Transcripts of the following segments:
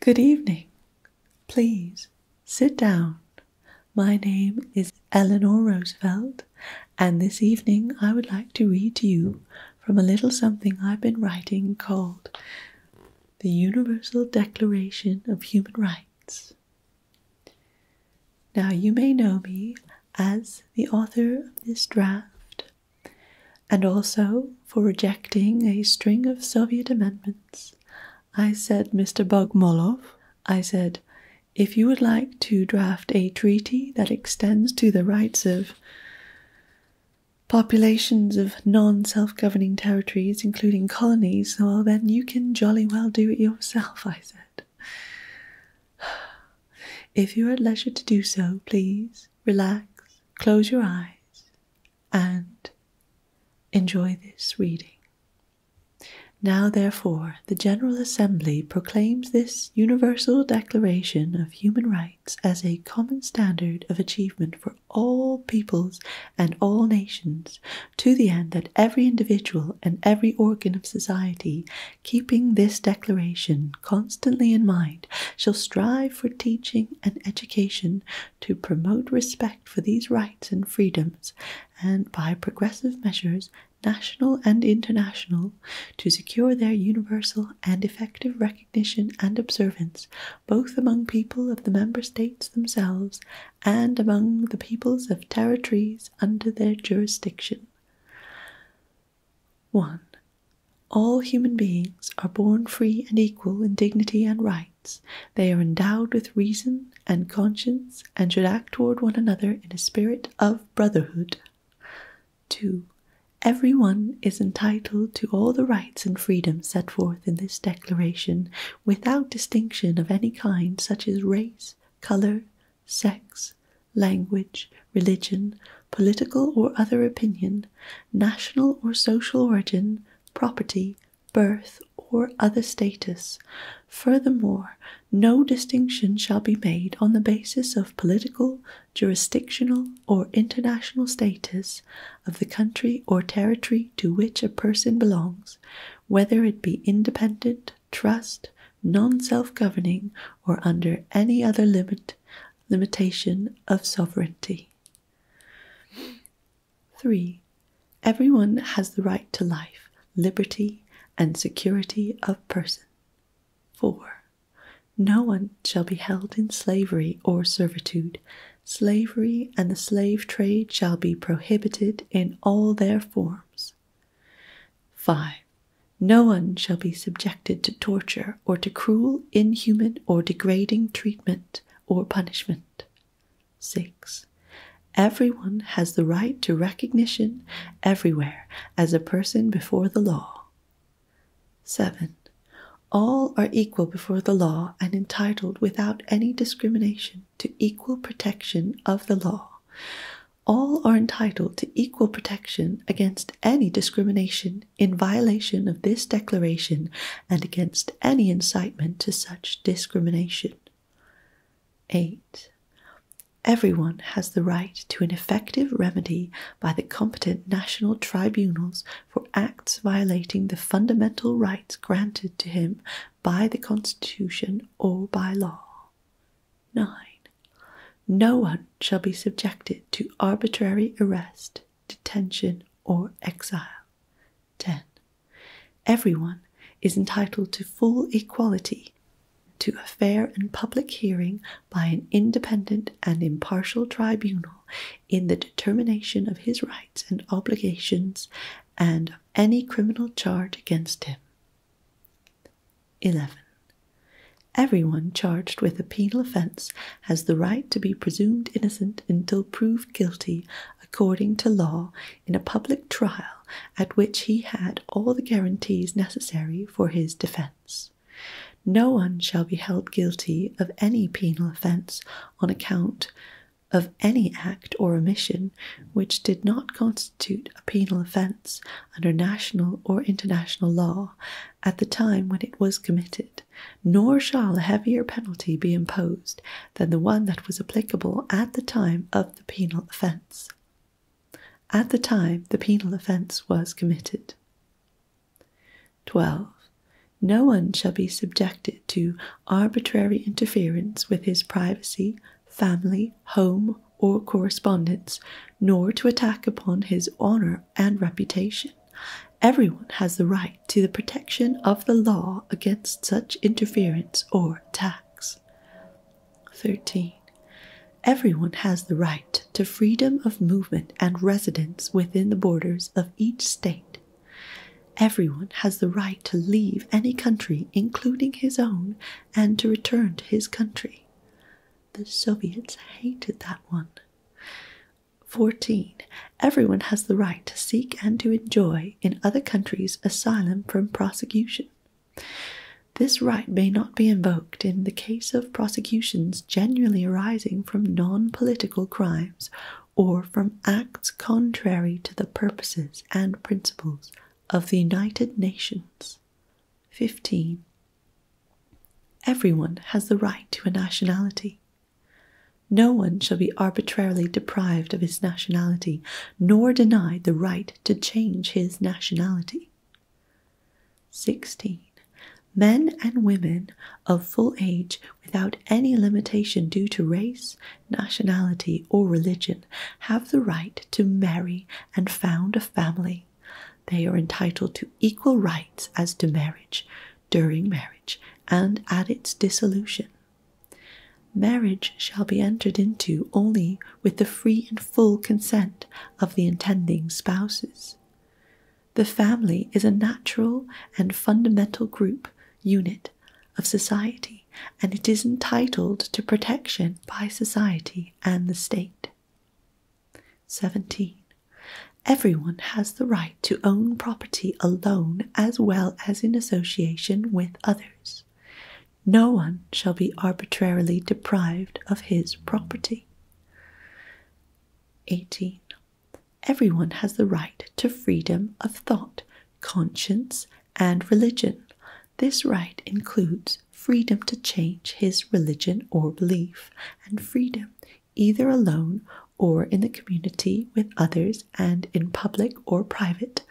Good evening. Please sit down. My name is Eleanor Roosevelt, and this evening I would like to read to you from a little something I've been writing called The Universal Declaration of Human Rights. Now, you may know me as the author of this draft and also for rejecting a string of Soviet amendments. I said, Mr. Bogmolov, I said, if you would like to draft a treaty that extends to the rights of populations of non self governing territories, including colonies, well, then you can jolly well do it yourself, I said. If you are at leisure to do so, please relax, close your eyes, and enjoy this reading. Now, therefore, the General Assembly proclaims this Universal Declaration of Human Rights as a common standard of achievement for all peoples and all nations, to the end that every individual and every organ of society, keeping this declaration constantly in mind, shall strive for teaching and education to promote respect for these rights and freedoms, and by progressive measures, national and international, to secure their universal and effective recognition and observance, both among people of the member states themselves and among the peoples of territories under their jurisdiction. 1. All human beings are born free and equal in dignity and rights. They are endowed with reason and conscience and should act toward one another in a spirit of brotherhood. 2. Everyone is entitled to all the rights and freedoms set forth in this declaration without distinction of any kind, such as race, color, sex, language, religion, political or other opinion, national or social origin, property, birth, or other status. Furthermore, no distinction shall be made on the basis of political, jurisdictional, or international status of the country or territory to which a person belongs, whether it be independent, trust, non self governing, or under any other limit limitation of sovereignty. 3. Everyone has the right to life, liberty, and security of person. 4. No one shall be held in slavery or servitude. Slavery and the slave trade shall be prohibited in all their forms. 5. No one shall be subjected to torture or to cruel, inhuman, or degrading treatment or punishment. 6. Everyone has the right to recognition everywhere as a person before the law. 7. All are equal before the law and entitled without any discrimination to equal protection of the law all are entitled to equal protection against any discrimination in violation of this declaration and against any incitement to such discrimination. 8. Everyone has the right to an effective remedy by the competent national tribunals for acts violating the fundamental rights granted to him by the Constitution or by law. 9. No one shall be subjected to arbitrary arrest, detention, or exile. 10. Everyone is entitled to full equality, to a fair and public hearing by an independent and impartial tribunal in the determination of his rights and obligations and of any criminal charge against him. 11. Every one charged with a penal offence has the right to be presumed innocent until proved guilty according to law in a public trial at which he had all the guarantees necessary for his defence. No one shall be held guilty of any penal offence on account of any act or omission which did not constitute a penal offence under national or international law at the time when it was committed, nor shall a heavier penalty be imposed than the one that was applicable at the time of the penal offence. At the time the penal offence was committed. 12. No one shall be subjected to arbitrary interference with his privacy family, home, or correspondence, nor to attack upon his honor and reputation. Every one has the right to the protection of the law against such interference or attacks. 13. every one has the right to freedom of movement and residence within the borders of each state. Every one has the right to leave any country, including his own, and to return to his country. The Soviets hated that one. 14. Everyone has the right to seek and to enjoy in other countries asylum from prosecution. This right may not be invoked in the case of prosecutions generally arising from non political crimes or from acts contrary to the purposes and principles of the United Nations. 15. Everyone has the right to a nationality. No one shall be arbitrarily deprived of his nationality, nor denied the right to change his nationality. 16. Men and women of full age without any limitation due to race, nationality, or religion have the right to marry and found a family. They are entitled to equal rights as to marriage, during marriage, and at its dissolution. Marriage shall be entered into only with the free and full consent of the intending spouses. The family is a natural and fundamental group unit of society and it is entitled to protection by society and the state. 17. Everyone has the right to own property alone as well as in association with others. No one shall be arbitrarily deprived of his property. 18. Everyone has the right to freedom of thought, conscience, and religion. This right includes freedom to change his religion or belief, and freedom either alone or in the community with others and in public or private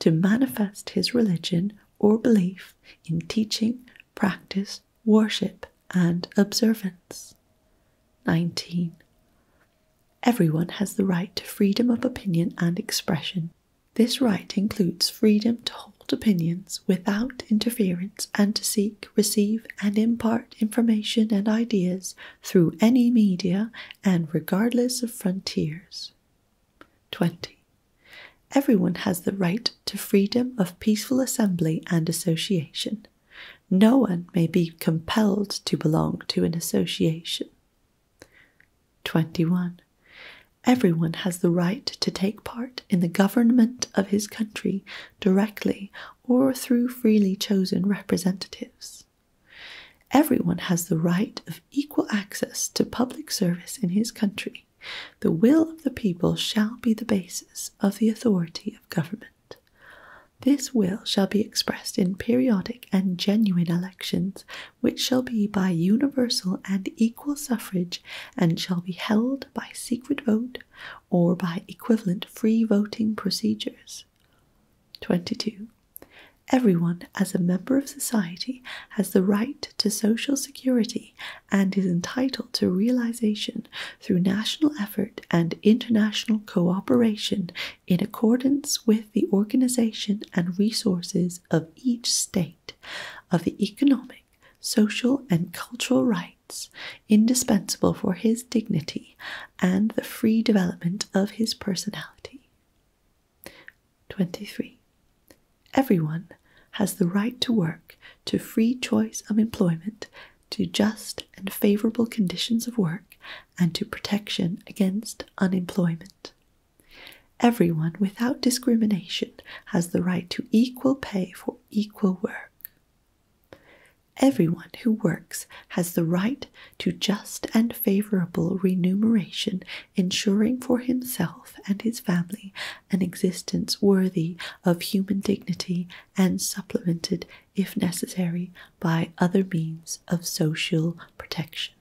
to manifest his religion or belief in teaching, practice, worship, and observance. 19. Everyone has the right to freedom of opinion and expression. This right includes freedom to hold opinions without interference and to seek, receive, and impart information and ideas through any media and regardless of frontiers. 20. Everyone has the right to freedom of peaceful assembly and association. No one may be compelled to belong to an association. 21. Everyone has the right to take part in the government of his country directly or through freely chosen representatives. Everyone has the right of equal access to public service in his country. The will of the people shall be the basis of the authority of government. This will shall be expressed in periodic and genuine elections, which shall be by universal and equal suffrage, and shall be held by secret vote or by equivalent free voting procedures. 22. Everyone, as a member of society, has the right to social security and is entitled to realization through national effort and international cooperation in accordance with the organization and resources of each state, of the economic, social, and cultural rights indispensable for his dignity and the free development of his personality. 23. Everyone has the right to work, to free choice of employment, to just and favorable conditions of work, and to protection against unemployment. Everyone, without discrimination, has the right to equal pay for equal work. Everyone who works has the right to just and favorable remuneration, ensuring for himself and his family an existence worthy of human dignity and supplemented, if necessary, by other means of social protection.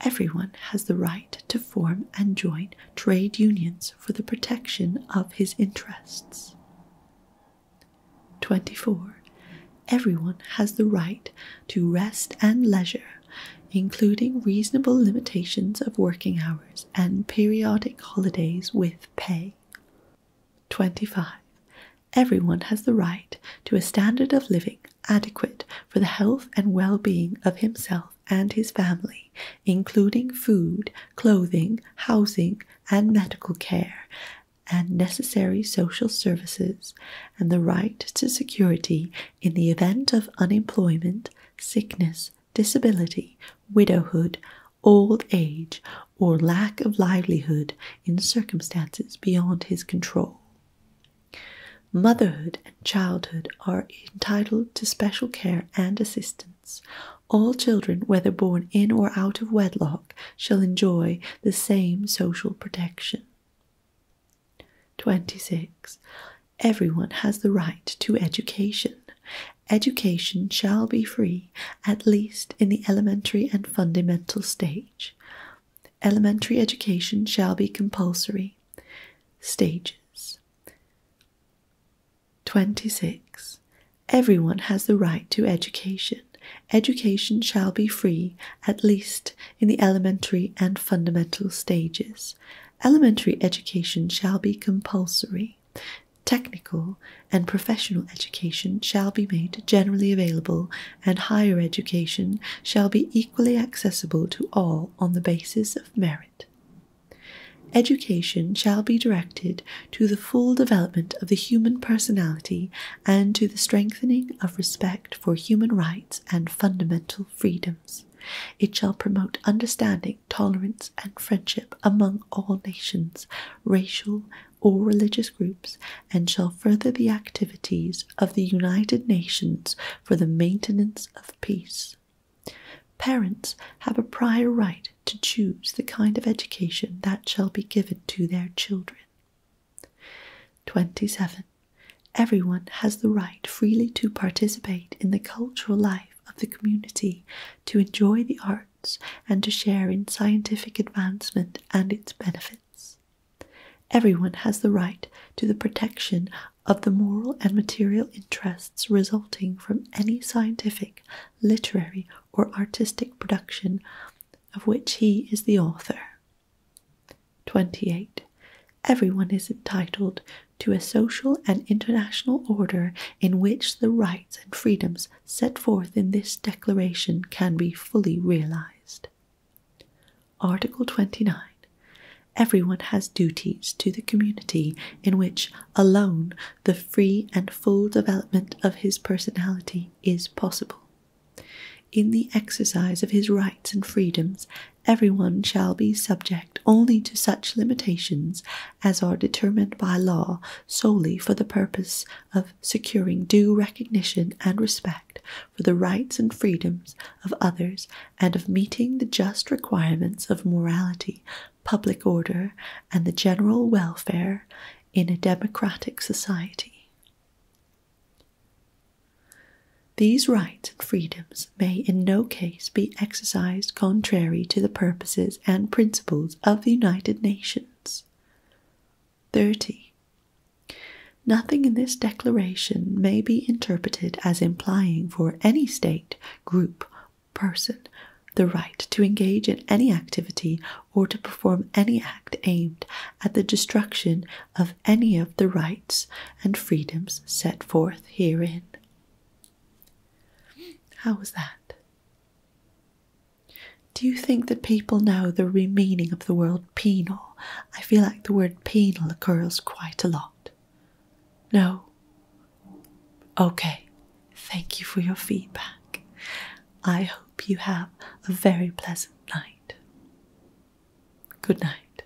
Everyone has the right to form and join trade unions for the protection of his interests. 24. Everyone has the right to rest and leisure, including reasonable limitations of working hours and periodic holidays with pay. 25. Everyone has the right to a standard of living adequate for the health and well being of himself and his family, including food, clothing, housing, and medical care, and necessary social services, and the right to security in the event of unemployment, sickness, disability, widowhood, old age, or lack of livelihood in circumstances beyond his control. Motherhood and childhood are entitled to special care and assistance. All children, whether born in or out of wedlock, shall enjoy the same social protection. 26. Everyone has the right to education. Education shall be free, at least in the elementary and fundamental stage. Elementary education shall be compulsory. Stages 26. Everyone has the right to education. Education shall be free, at least in the elementary and fundamental stages. Elementary education shall be compulsory. Technical and professional education shall be made generally available, and higher education shall be equally accessible to all on the basis of merit. Education shall be directed to the full development of the human personality and to the strengthening of respect for human rights and fundamental freedoms. It shall promote understanding tolerance, and friendship among all nations, racial or religious groups, and shall further the activities of the United Nations for the maintenance of peace. Parents have a prior right to choose the kind of education that shall be given to their children. 27. Everyone has the right freely to participate in the cultural life of the community, to enjoy the arts and to share in scientific advancement and its benefits. Everyone has the right to the protection of the moral and material interests resulting from any scientific, literary, or artistic production of which he is the author. 28. Everyone is entitled to a social and international order in which the rights and freedoms set forth in this Declaration can be fully realized. Article 29. Everyone has duties to the community in which alone the free and full development of his personality is possible. In the exercise of his rights and freedoms, everyone shall be subject only to such limitations as are determined by law solely for the purpose of securing due recognition and respect for the rights and freedoms of others and of meeting the just requirements of morality, public order, and the general welfare in a democratic society. These rights and freedoms may in no case be exercised contrary to the purposes and principles of the United Nations. 30. Nothing in this declaration may be interpreted as implying for any state, group, person the right to engage in any activity or to perform any act aimed at the destruction of any of the rights and freedoms set forth herein. How was that? Do you think that people know the real meaning of the word penal? I feel like the word penal occurs quite a lot. No? Okay, thank you for your feedback. I hope you have a very pleasant night. Good night.